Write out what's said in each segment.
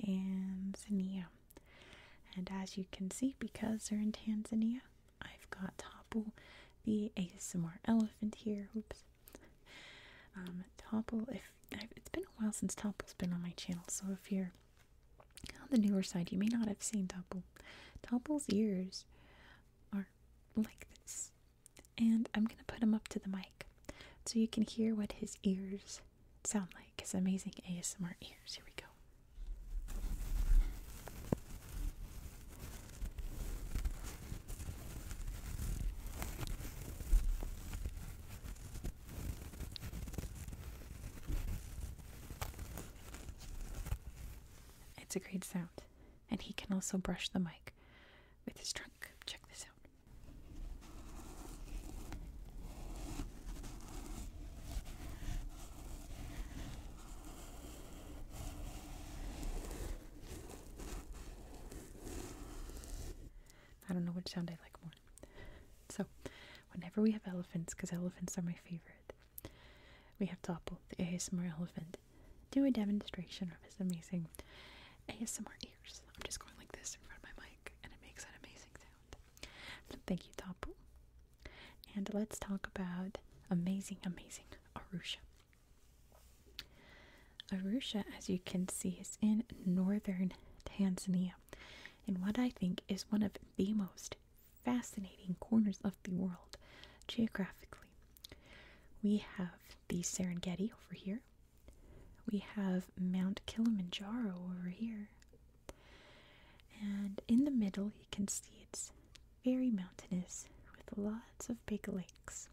Tanzania. And as you can see, because they're in Tanzania, I've got Topple, the ASMR elephant here. Oops. Um, Topple, if it's been a while since Topple's been on my channel, so if you're on the newer side, you may not have seen Topple. Topple's ears are like this, and I'm gonna put them up to the mic so you can hear what his ears sound like. His amazing ASMR ears. Here we go. It's a great sound, and he can also brush the mic with his trunk. Check this out. I don't know which sound I like more. So, whenever we have elephants, because elephants are my favorite, we have Topple, the ASMR elephant, do a demonstration of his amazing ASMR I'm just going like this in front of my mic, and it makes an amazing sound. thank you, Tapu. And let's talk about amazing, amazing Arusha. Arusha, as you can see, is in northern Tanzania, in what I think is one of the most fascinating corners of the world geographically. We have the Serengeti over here, we have Mount Kilimanjaro over here. And in the middle, you can see it's very mountainous with lots of big lakes.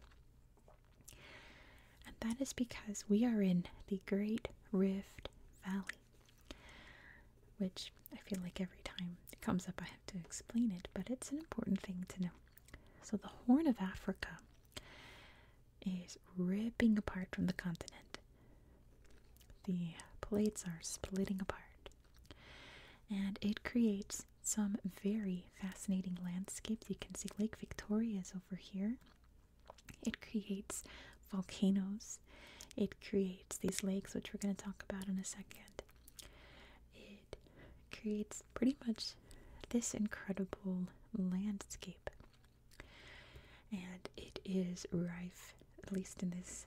And that is because we are in the Great Rift Valley, which I feel like every time it comes up, I have to explain it, but it's an important thing to know. So, the Horn of Africa is ripping apart from the continent. The plates are splitting apart, and it creates some very fascinating landscapes. You can see Lake Victoria is over here. It creates volcanoes. It creates these lakes, which we're going to talk about in a second. It creates pretty much this incredible landscape and it is rife, at least in this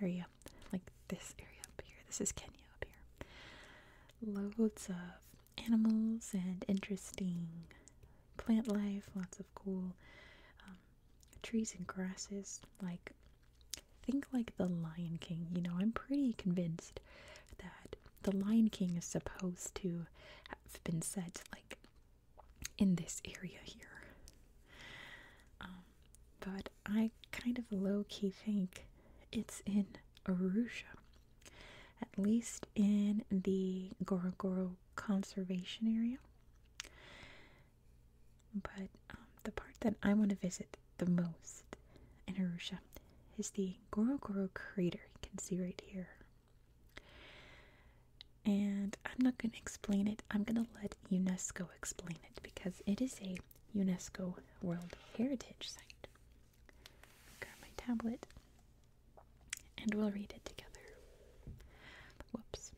area, like this area up here. This is Kenya up here. Loads of animals and interesting plant life, lots of cool um, trees and grasses. Like, think like the Lion King. You know, I'm pretty convinced that the Lion King is supposed to have been set like in this area here. Um, but I kind of low key think it's in Arusha, at least in the Gorogoro conservation area. But um, the part that I want to visit the most in Arusha is the Gorogoro crater. You can see right here and I'm not going to explain it, I'm going to let UNESCO explain it because it is a UNESCO World Heritage Site. I've got my tablet and we'll read it together. Whoops.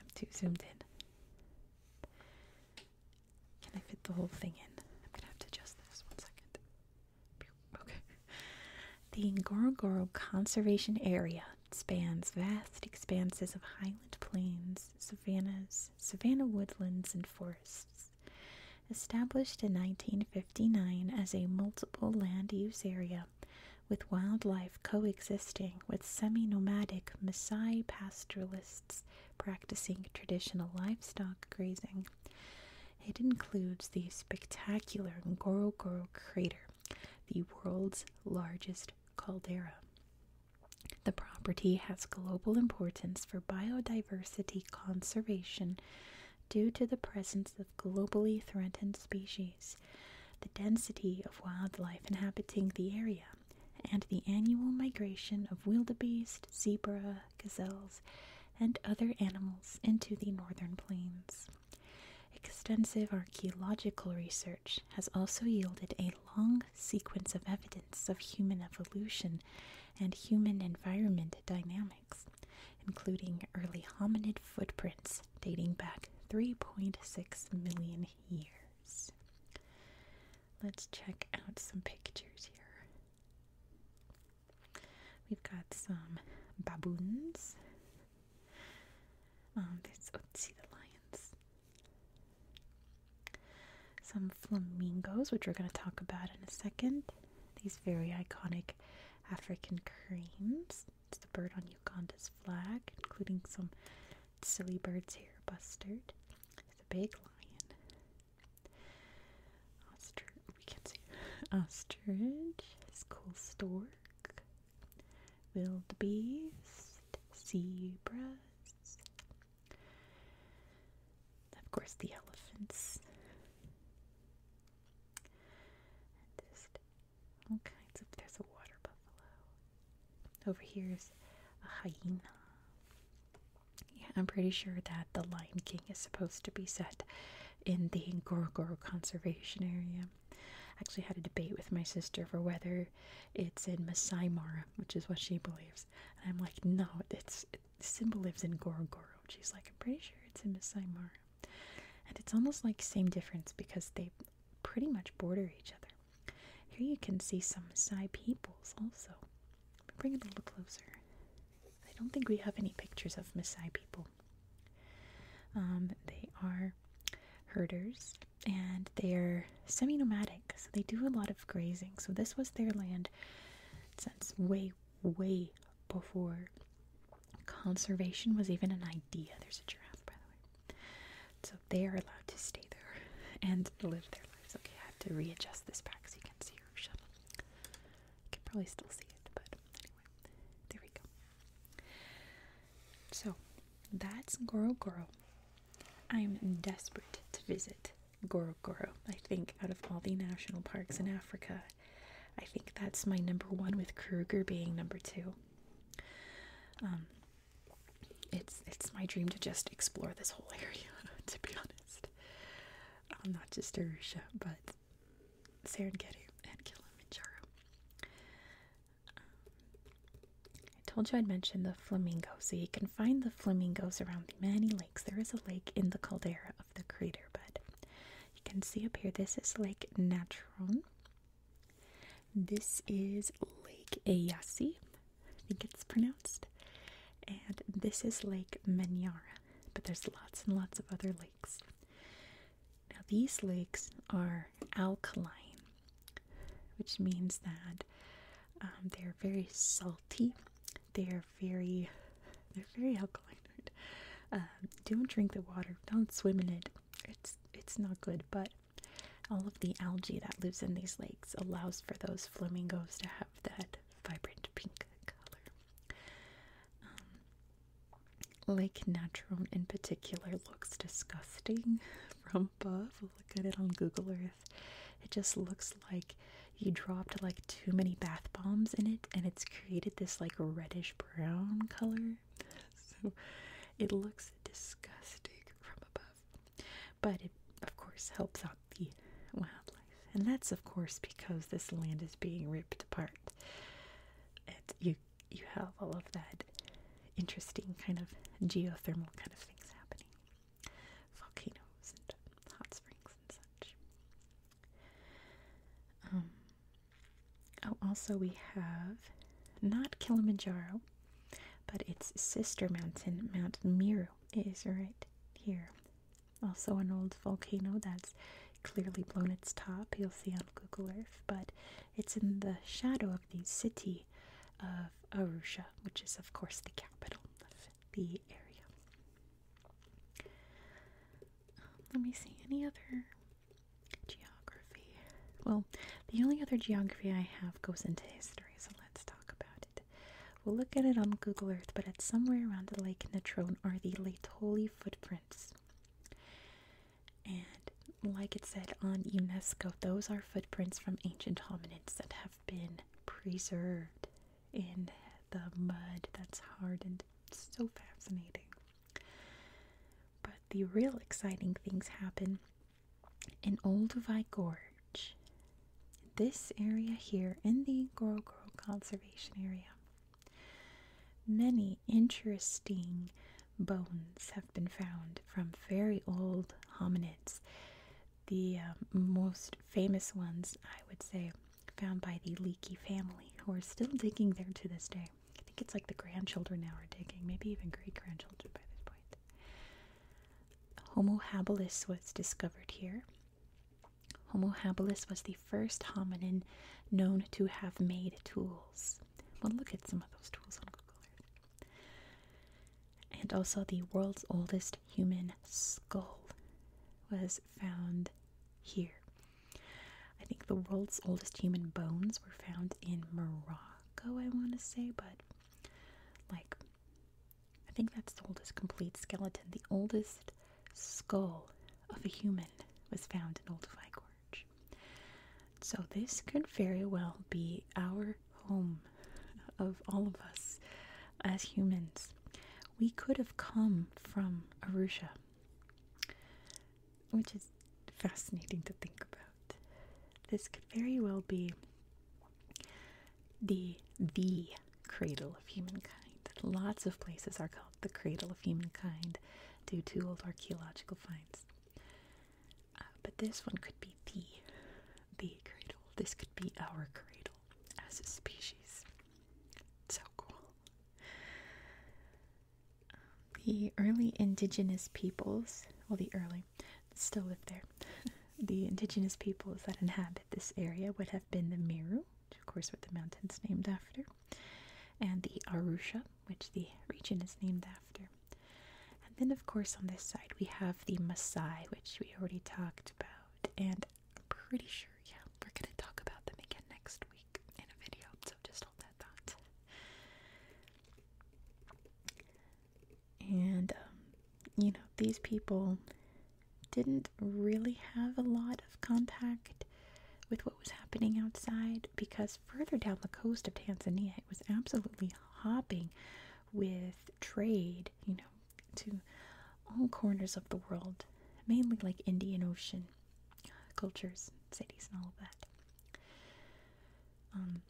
I'm too zoomed in. Can I fit the whole thing in? I'm gonna have to adjust this one second. The Ngorongoro Conservation Area spans vast expanses of highland plains, savannas, savanna woodlands, and forests. Established in 1959 as a multiple land use area with wildlife coexisting with semi nomadic Maasai pastoralists practicing traditional livestock grazing. It includes the spectacular Ngorongoro crater, the world's largest caldera. The property has global importance for biodiversity conservation due to the presence of globally threatened species, the density of wildlife inhabiting the area, and the annual migration of wildebeest, zebra, gazelles, and other animals into the northern plains. Extensive archaeological research has also yielded a long sequence of evidence of human evolution and human environment dynamics, including early hominid footprints dating back 3.6 million years. Let's check out some pictures here. We've got some baboons. Um, there's, oh, the lions. Some flamingos, which we're going to talk about in a second. These very iconic African cranes. It's the bird on Uganda's flag, including some silly birds here, bustard. There's a big lion. Ostrich, we can see ostrich, It's called stork, Wildebeest, beast, zebras, of course the elephants, just all kinds of. There's a water buffalo. Over here is a hyena. Yeah, I'm pretty sure that the Lion King is supposed to be set in the Ngorongoro Conservation Area. I actually had a debate with my sister for whether it's in Masai Mara, which is what she believes. And I'm like, no, it's Simba lives in Gorogoro. She's like, I'm pretty sure it's in Masai Mara. And it's almost like same difference because they pretty much border each other. Here you can see some Maasai peoples also. Bring it a little closer. I don't think we have any pictures of Maasai people. Um, they are herders and they're semi nomadic, so they do a lot of grazing. So, this was their land since way, way before conservation was even an idea. There's a giraffe, by the way. So, they are allowed to stay there and live their lives. Okay, I have to readjust this back so you can see her shuttle. I can probably still see it, but anyway, there we go. So that's Goro Goro. I'm desperate to visit Goro Goro. I think out of all the national parks in Africa, I think that's my number one, with Kruger being number two. Um, it's it's my dream to just explore this whole area, to be honest uh, not just Arusha, but Serengeti and Kilimanjaro. Um, I told you I'd mention the flamingos, so you can find the flamingos around the many lakes. There is a lake in the caldera of the crater bed. You can see up here, this is Lake Natron. This is Lake Eyasi, I think it's pronounced. And this is Lake Manyara but there's lots and lots of other lakes. Now, these lakes are alkaline, which means that um, they're very salty. They are very, they're very alkaline. Um, don't drink the water. Don't swim in it. It's it's not good. But all of the algae that lives in these lakes allows for those flamingos to have that vibrant pink color. Um, Lake Natron in particular looks disgusting from above. Look at it on Google Earth. It just looks like you dropped like too many bath bombs in it and it's created this like reddish brown color. So it looks disgusting from above. But it, of course, helps out the wildlife. And that's, of course, because this land is being ripped apart. and you, you have all of that interesting kind of geothermal kind of things happening. Volcanoes and hot springs and such. Um, oh, also we have not Kilimanjaro, but its sister mountain, Mount Meru, is right here also an old volcano that's clearly blown its top, you'll see on Google Earth, but it's in the shadow of the city of Arusha, which is, of course, the capital of the area. let me see, any other geography? Well, the only other geography I have goes into history, so let's talk about it. We'll look at it on Google Earth, but it's somewhere around the Lake Natron are the Laetoli footprints. And like it said on UNESCO, those are footprints from ancient hominids that have been preserved in the mud that's hardened. It's so fascinating. But the real exciting things happen in Olduvai Gorge this area here in the Goro Goro Conservation Area. Many interesting bones have been found from very old hominids. The um, most famous ones, I would say, found by the Leakey family, who are still digging there to this day. I think it's like the grandchildren now are digging, maybe even great grandchildren by this point. Homo habilis was discovered here Homo habilis was the first hominin known to have made tools. We'll look at some of those tools on Google Earth. And also, the world's oldest human skull was found here. I think the world's oldest human bones were found in Morocco, I want to say, but like I think that's the oldest complete skeleton. The oldest skull of a human was found in Old Fly Gorge. So this could very well be our home of all of us as humans. We could have come from Arusha, which is fascinating to think about. This could very well be the the cradle of humankind. Lots of places are called the cradle of humankind due to old archaeological finds. Uh, but this one could be the the cradle. This could be our cradle as a species. So cool. the early indigenous peoples, well, the early still live there. the indigenous peoples that inhabit this area would have been the Miru, of course what the mountain's named after, and the Arusha, which the region is named after. And then of course on this side we have the Maasai, which we already talked about, and I'm pretty sure, yeah, we're gonna talk about them again next week in a video, so just hold that thought. And um, you know, these people didn't really have a lot of contact with what was happening outside because further down the coast of Tanzania it was absolutely hopping with trade, you know, to all corners of the world, mainly like Indian Ocean cultures, cities, and all of that. Um,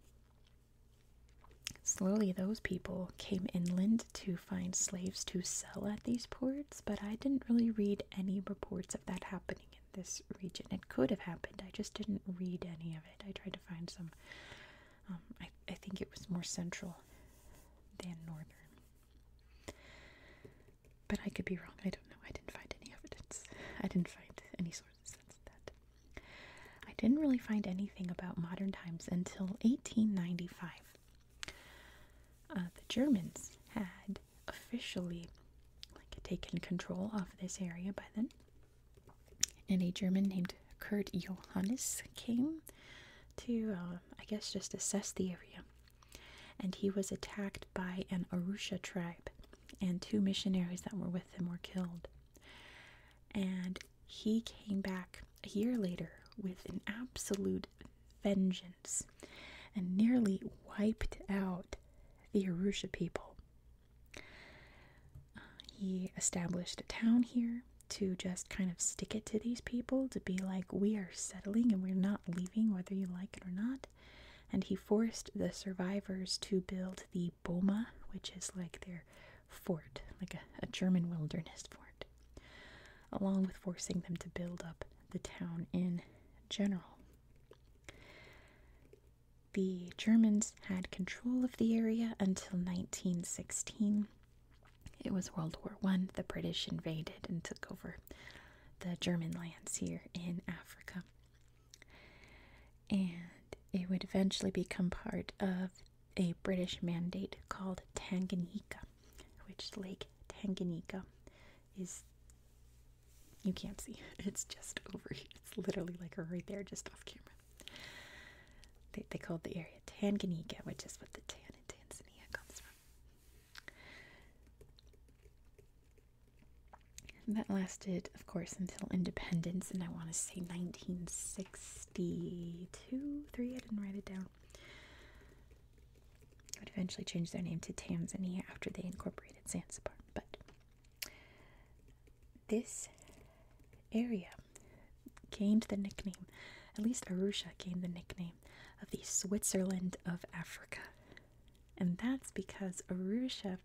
slowly, those people came inland to find slaves to sell at these ports, but I didn't really read any reports of that happening in this region. It could have happened, I just didn't read any of it. I tried to find some. Um, I, I think it was more central than northern. But I could be wrong. I don't know. I didn't find any evidence. I didn't find any sources of that. I didn't really find anything about modern times until 1895. Uh, the Germans had officially taken control of this area by then, and a German named Kurt Johannes came to, uh, I guess, just assess the area. And he was attacked by an Arusha tribe, and two missionaries that were with him were killed. And he came back a year later with an absolute vengeance and nearly wiped out the Arusha people. he established a town here to just kind of stick it to these people, to be like, we are settling and we're not leaving, whether you like it or not. And he forced the survivors to build the Boma, which is like their fort, like a German wilderness fort along with forcing them to build up the town in general. The Germans had control of the area until 1916. It was World War I. The British invaded and took over the German lands here in Africa. And it would eventually become part of a British mandate called Tanganyika which Lake Tanganyika is you can't see. It's just over here. It's literally like right there, just off camera. They, they called the area Tanganyika, which is what the tan in Tanzania comes from. that lasted, of course, until independence, and I want to say 1962, 3, I didn't write it down would eventually change their name to Tanzania after they incorporated Zanzibar. But this area gained the nickname, at least Arusha gained the nickname of the Switzerland of Africa. And that's because Arusha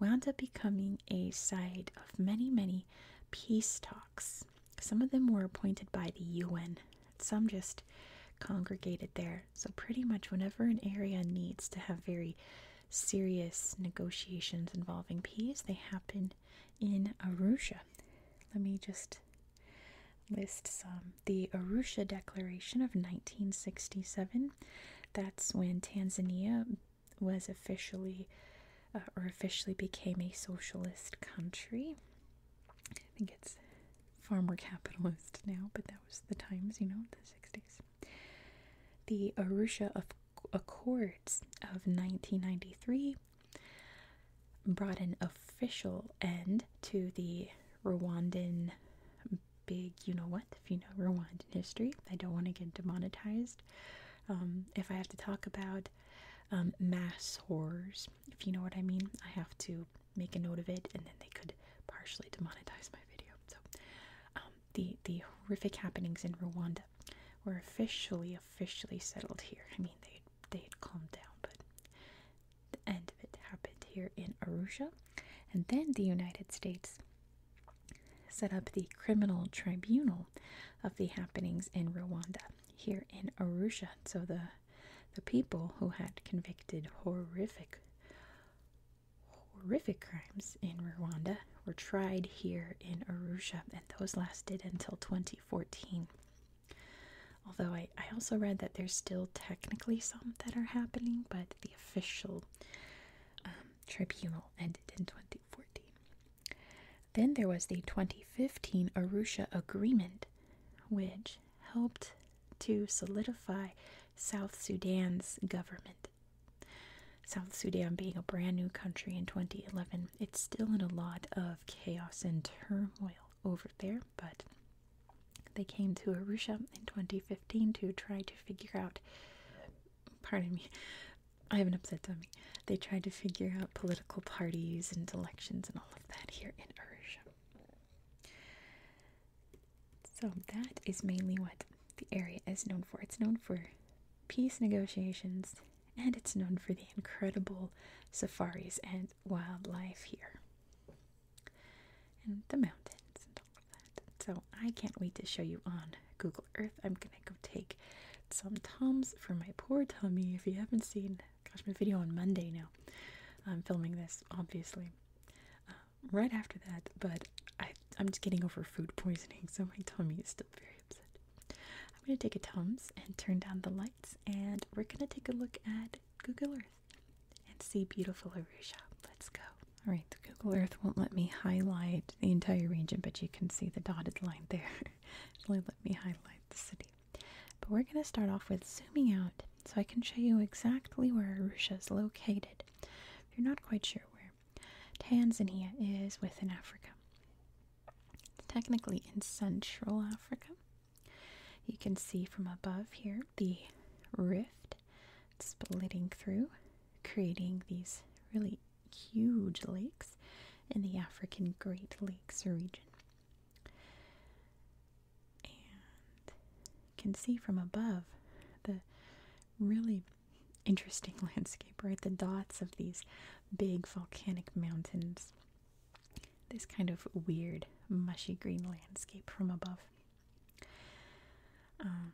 wound up becoming a site of many, many peace talks some of them were appointed by the UN, some just congregated there. So, pretty much, whenever an area needs to have very serious negotiations involving peace, they happen in Arusha. Let me just list some. The Arusha Declaration of 1967, that's when Tanzania was officially uh, or officially became a socialist country. I think it's far more capitalist now, but that was the times, you know, the 60s. The Arusha Accords of 1993 brought an official end to the Rwandan big, you know what, if you know Rwandan history. I don't want to get demonetized. Um, if I have to talk about um, mass horrors, if you know what I mean. I have to make a note of it, and then they could partially demonetize my video. So, um, the the horrific happenings in Rwanda were officially officially settled here. I mean, they they had calmed down, but the end of it happened here in Arusha, and then the United States set up the criminal tribunal of the happenings in Rwanda here in Arusha. So the the people who had convicted horrific horrific crimes in Rwanda were tried here in Arusha, and those lasted until 2014. Although I, I also read that there's still technically some that are happening, but the official um, tribunal ended in 2014. Then there was the 2015 Arusha Agreement, which helped to solidify South Sudan's government. South Sudan being a brand new country in 2011, it's still in a lot of chaos and turmoil over there, but they came to Arusha in 2015 to try to figure out. Pardon me, I have an upset tummy. They tried to figure out political parties and elections and all of that here in Urge. So that is mainly what the area is known for. It's known for peace negotiations and it's known for the incredible safaris and wildlife here. And the mountains and all of that. So I can't wait to show you on Google Earth. I'm gonna go take some Tums for my poor tummy. If you haven't seen gosh, my video on Monday now. I'm filming this, obviously, uh, right after that, but I, am just getting over food poisoning, so my tummy is still very upset. I'm going to take a Tums and turn down the lights, and we're going to take a look at Google Earth and see beautiful Arusha. Let's go. All right, the Google Earth won't let me highlight the entire region, but you can see the dotted line there. it only let me highlight the city. But we're going to start off with zooming out so I can show you exactly where Arusha is located. If you're not quite sure where, Tanzania is within Africa. technically in Central Africa. You can see from above here the rift splitting through, creating these really huge lakes in the African Great Lakes region and can see from above the really interesting landscape, right? The dots of these big volcanic mountains. This kind of weird, mushy green landscape from above. Um,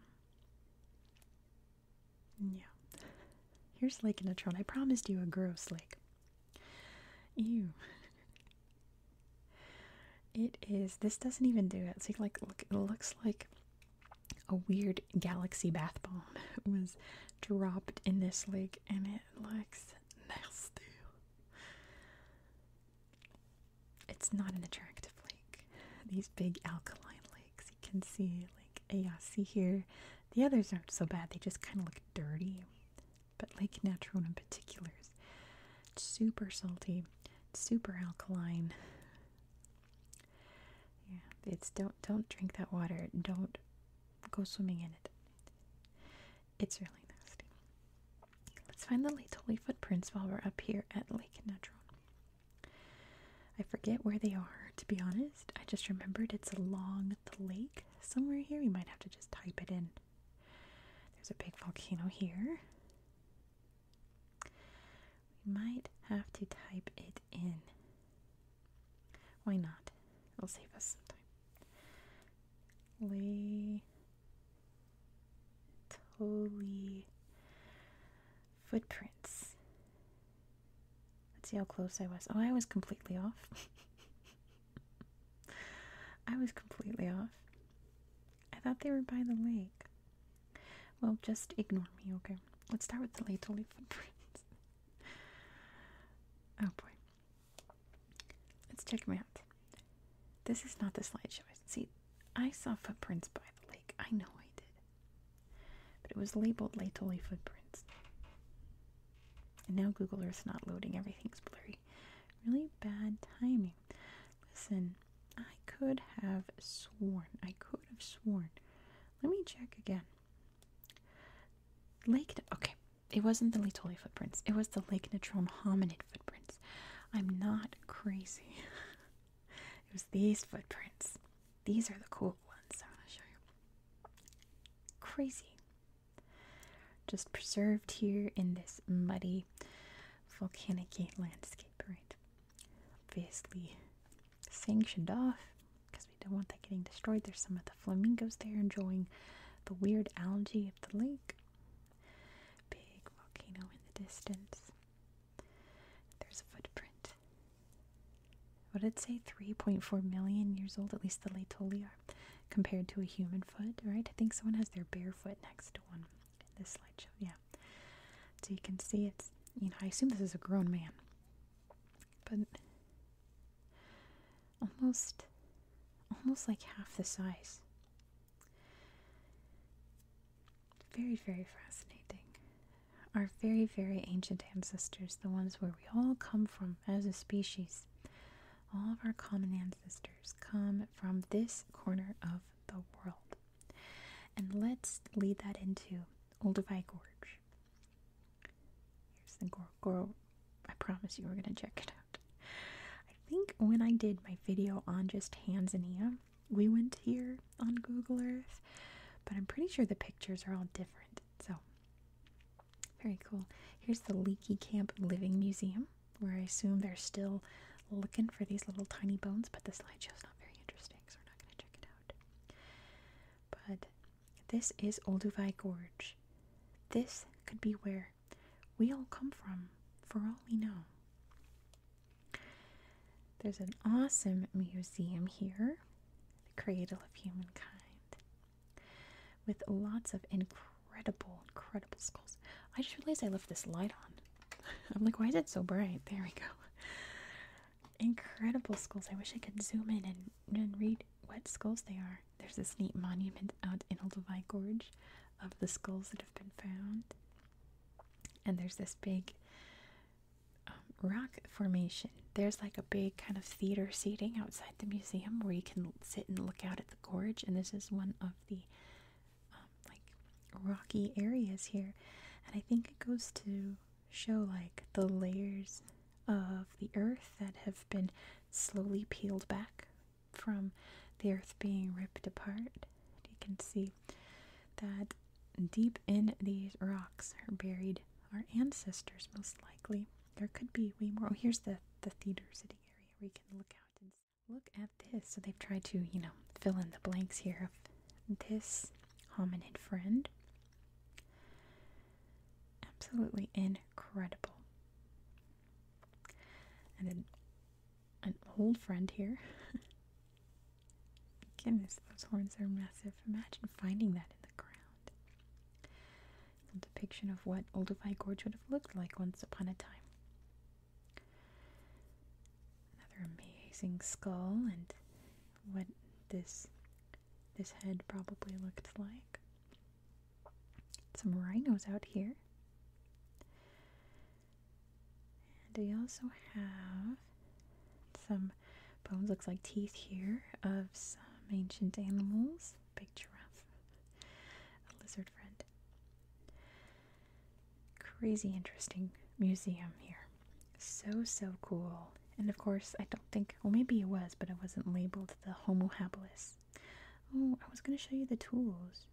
yeah. Here's Lake Natron. I promised you a gross lake. Ew. it is. This doesn't even do it. It's like, like look, it looks like a weird galaxy bath bomb was dropped in this lake, and it looks nasty. It's not an attractive lake. These big alkaline lakes, you can see, like, yeah, see here. The others aren't so bad. They just kind of look dirty but Lake Natron in particular is super salty, super alkaline. Yeah, it's don't don't drink that water. Don't go swimming in it. It's really nasty. Let's find the Laetoli footprints while we're up here at Lake Natron. I forget where they are, to be honest. I just remembered it's along the lake somewhere here. We might have to just type it in. There's a big volcano here. We might have to type it in. Why not? It'll save us some time. Lay. Totally. Footprints. Let's see how close I was. Oh, I was completely off. I was completely off. I thought they were by the lake. Well, just ignore me, okay? Let's start with the Laetoli footprints. oh boy. Let's check them out. This is not the slideshow. See, I saw footprints by the lake. I know I did. But it was labeled Laetoli footprints. And now Google Earth's not loading, everything's blurry. Really bad timing. Listen, I could have sworn, I could have sworn. Let me check again. Lake, okay, it wasn't the Laetoli footprints, it was the Lake Natron hominid footprints. I'm not crazy. it was these footprints. These are the cool ones I'm to show you. Crazy. Just preserved here in this muddy volcanic landscape, right? Obviously sanctioned off because we don't want that getting destroyed. There's some of the flamingos there enjoying the weird algae of the lake. Big volcano in the distance. There's a footprint. What did it say? 3.4 million years old, at least the Laetoli are compared to a human foot, right? I think someone has their bare foot next to one in this slideshow. Yeah. So you can see it's, you know, I assume this is a grown man. But almost, almost like half the size. Very, very fascinating. Our very, very ancient ancestors, the ones where we all come from as a species, all of our common ancestors come from this corner of the world. And let's lead that into Olduvai Gorge. Here's the Goro. I promise you we're going to check it out. I think when I did my video on just Tanzania, we went here on Google Earth, but I'm pretty sure the pictures are all different. So, very cool. Here's the Leaky Camp Living Museum, where I assume they're still looking for these little tiny bones, but the slideshow's not very interesting, so we're not going to check it out. But this is Olduvai Gorge. This could be where we all come from, for all we know. There's an awesome museum here, the cradle of humankind with lots of incredible, incredible skulls. I just realized I left this light on. I'm like, why is it so bright? There we go. Incredible skulls. I wish I could zoom in and, read what skulls they are. There's this neat monument out in Olduvai Gorge of the skulls that have been found. And there's this big um, rock formation. There's like a big kind of theater seating outside the museum where you can sit and look out at the gorge, and this is one of the um, like rocky areas here, and I think it goes to show like the layers of the earth that have been slowly peeled back from the earth being ripped apart. You can see that deep in these rocks are buried our ancestors, most likely. There could be way more. Oh, here's the the theater sitting area where you can look out and look at this. So they've tried to you know fill in the blanks here of this hominid friend. Absolutely incredible. And then an old friend here. Goodness, those horns are massive. Imagine finding that in the ground a depiction of what Olduvai Gorge would have looked like once upon a time. Another amazing skull and what this this head probably looked like. Some rhinos out here. And we also have some bones, looks like teeth here, of some ancient animals big giraffe, a lizard friend. Crazy interesting museum here. So, so cool. And of course, I don't think, well, maybe it was, but it wasn't labeled the Homo habilis. Oh, I was going to show you the tools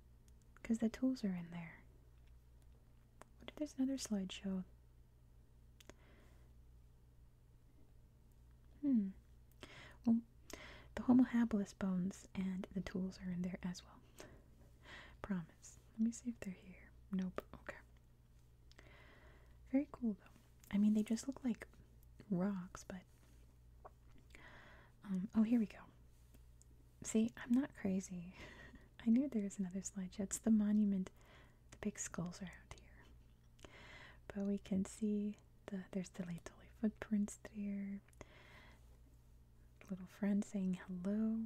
because the tools are in there. What if there's another slideshow? Hmm. Well, the Homo habilis bones and the tools are in there as well. Promise. Let me see if they're here. Nope. Okay. Very cool though. I mean, they just look like rocks, but. Um, oh, here we go. See, I'm not crazy. I knew there was another slideshow. It's the monument. The big skulls are out here. But we can see the there's the Leitoli footprints there. Little friend saying hello.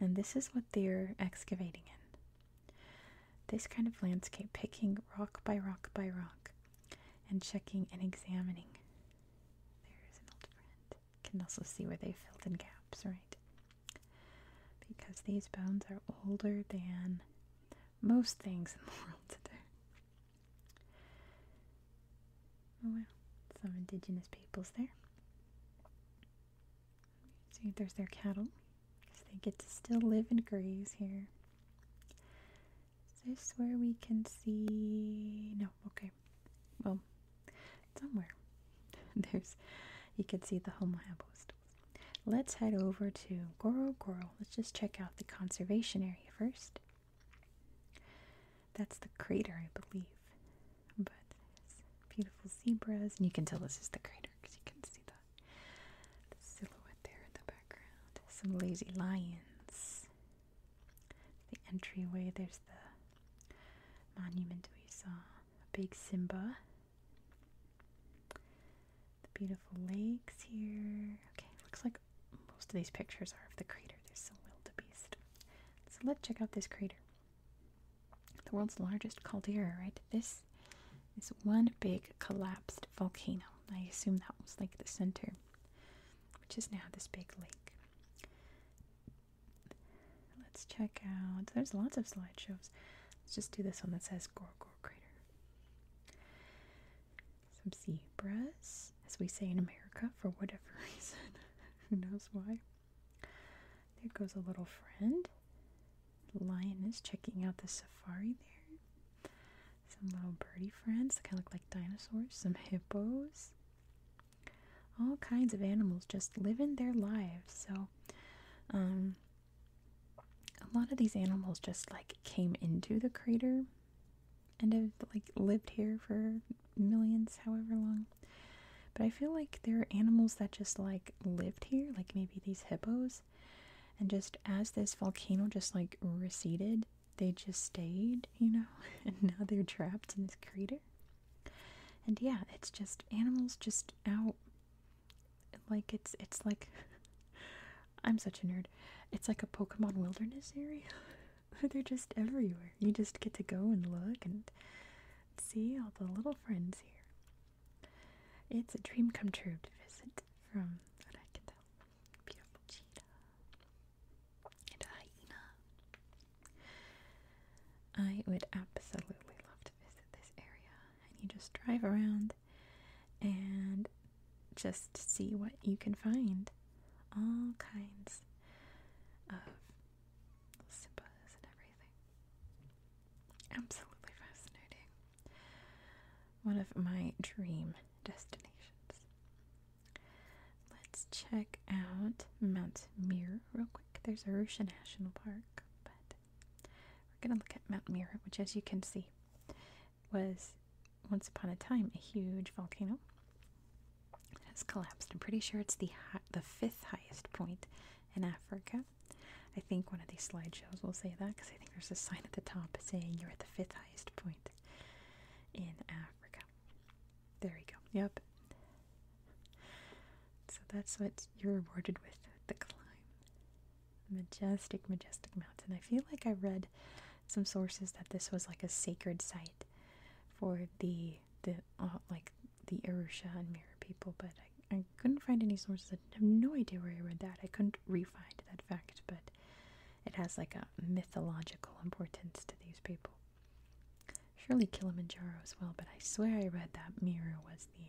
And this is what they're excavating in. This kind of landscape, picking rock by rock by rock and checking and examining. There's an old friend. Can also see where they filled in gaps, right? Because these bones are older than most things in the world today. Oh wow, some indigenous peoples there. See, there's their cattle, because they get to still live and graze here. this where we can see? No, okay. Well, somewhere there's you can see the Homo habilis Let's head over to Goro Let's just check out the conservation area first. That's the crater, I believe. But beautiful zebras, and you can tell this is the crater because you can see the, the silhouette there in the background. Some lazy lions. The entryway, there's the monument we saw. A big Simba. The beautiful lakes here. Okay, looks like most of these pictures are of the crater. There's some wildebeest. So let's check out this crater. The world's largest caldera, right? This is one big collapsed volcano. I assume that was like the center, which is now this big lake. Let's check out. There's lots of slideshows. Let's just do this one that says Gor Gor Crater some zebras, as we say in America for whatever reason. Who knows why? There goes a little friend. lion is checking out the safari there. Some little birdie friends that kind of look like dinosaurs. Some hippos. All kinds of animals just living their lives. So, um, a lot of these animals just like came into the crater and have like lived here for millions, however long. But I feel like there are animals that just like lived here, like maybe these hippos, and just as this volcano just like receded, they just stayed, you know, and now they're trapped in this crater. And yeah, it's just animals just out like it's it's like I'm such a nerd. It's like a Pokemon wilderness area. They're just everywhere. You just get to go and look and see all the little friends here. It's a dream come true to visit from what Beautiful cheetah and a hyena. I would absolutely love to visit this area. And you just drive around and just see what you can find. All kinds of Simbas and everything. Absolutely fascinating. One of my dream destinations. Let's check out Mount Mir real quick. There's Arusha National Park, but we're going to look at Mount Mir, which, as you can see, was once upon a time a huge volcano. It has collapsed. I'm pretty sure it's the the fifth highest point in Africa. I think one of these slideshows will say that because I think there's a sign at the top saying you're at the fifth highest point in Africa. There we go. Yep. So that's what you're rewarded with the climb majestic, majestic mountain. I feel like I read some sources that this was like a sacred site for the the uh, like the Arusha and Mira people, but I, couldn't find any sources. I have no idea where I read that. I couldn't re-find that fact, but it has like a mythological importance to these people. Surely Kilimanjaro as well, but I swear I read that Mira was the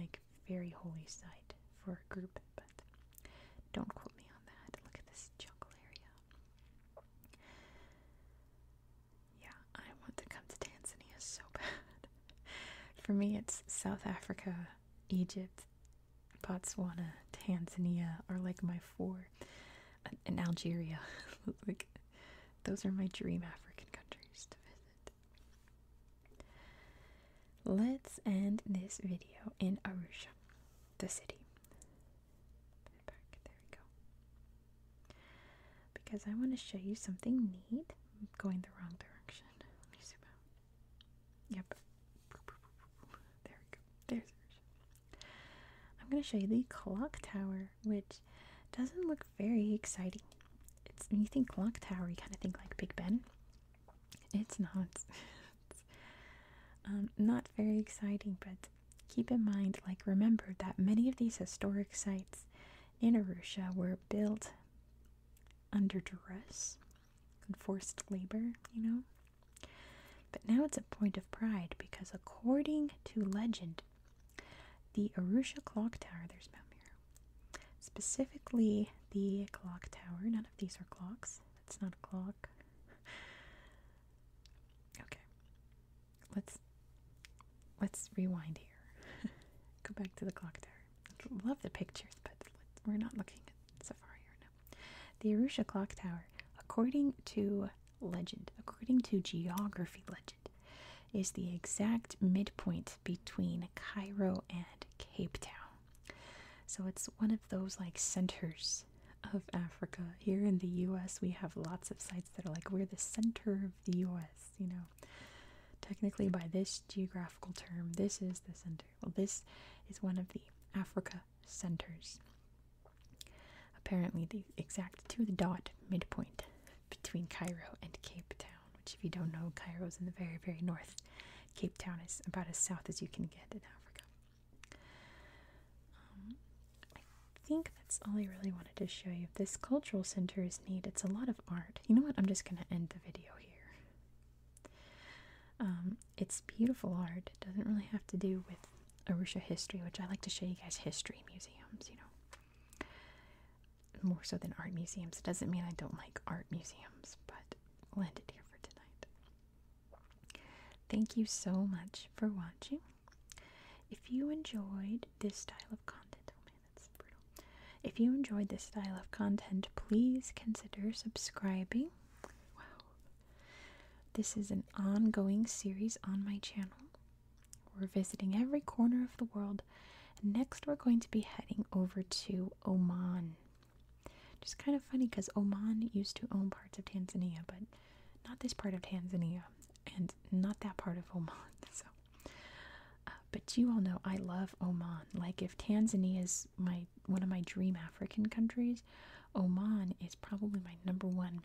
like very holy site for a group, but don't quote me on that. Look at this jungle area. Yeah, I want to come to Tanzania so bad. for me, it's South Africa, Egypt, Botswana, Tanzania are like my four, and uh, Algeria. like, those are my dream African countries to visit. Let's end this video in Arusha, the city. Because I want to show you something neat. going the wrong direction. Yep. There we go. There's Arusha. I'm going to show you the clock tower, which doesn't look very exciting. It's when you think clock tower, you kind of think like Big Ben. It's not. Um, not very exciting, but keep in mind, like, remember that many of these historic sites in Arusha were built under duress and forced labor, you know? But now it's a point of pride because, according to legend, the Arusha clock tower, there's Mount Meru, specifically the clock tower, not these are clocks. It's not a clock. okay. Let's let's rewind here. Go back to the clock tower. Love the pictures, but we're not looking at Safari right now. The Arusha clock tower, according to legend, according to geography legend, is the exact midpoint between Cairo and Cape Town. So it's one of those like centers of Africa. Here in the US, we have lots of sites that are like, we're the center of the US, you know. Technically, by this geographical term, this is the center. Well, this is one of the Africa centers. Apparently, the exact to the dot midpoint between Cairo and Cape Town, which, if you don't know, Cairo's in the very, very north. Cape Town is about as south as you can get in Africa. Um, I think that's all I really wanted to show you. This cultural center is neat. It's a lot of art. You know what? I'm just going to end the video here. Um, it's beautiful art. doesn't really have to do with Arusha history, which I like to show you guys history museums, you know. More so than art museums. It doesn't mean I don't like art museums, but it. it here for tonight. Thank you so much for watching. If you enjoyed this style of content, oh If you enjoyed this style of content, please consider subscribing. Wow. This is an ongoing series on my channel. We're visiting every corner of the world. Next, we're going to be heading over to Oman. Just kind of funny because Oman used to own parts of Tanzania, but not this part of Tanzania and not that part of Oman. So, uh, but you all know I love Oman. Like if Tanzania is my one of my dream African countries, Oman is probably my number one,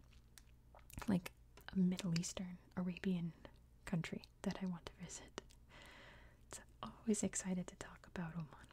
like a Middle Eastern Arabian country that I want to visit. It's always excited to talk about Oman.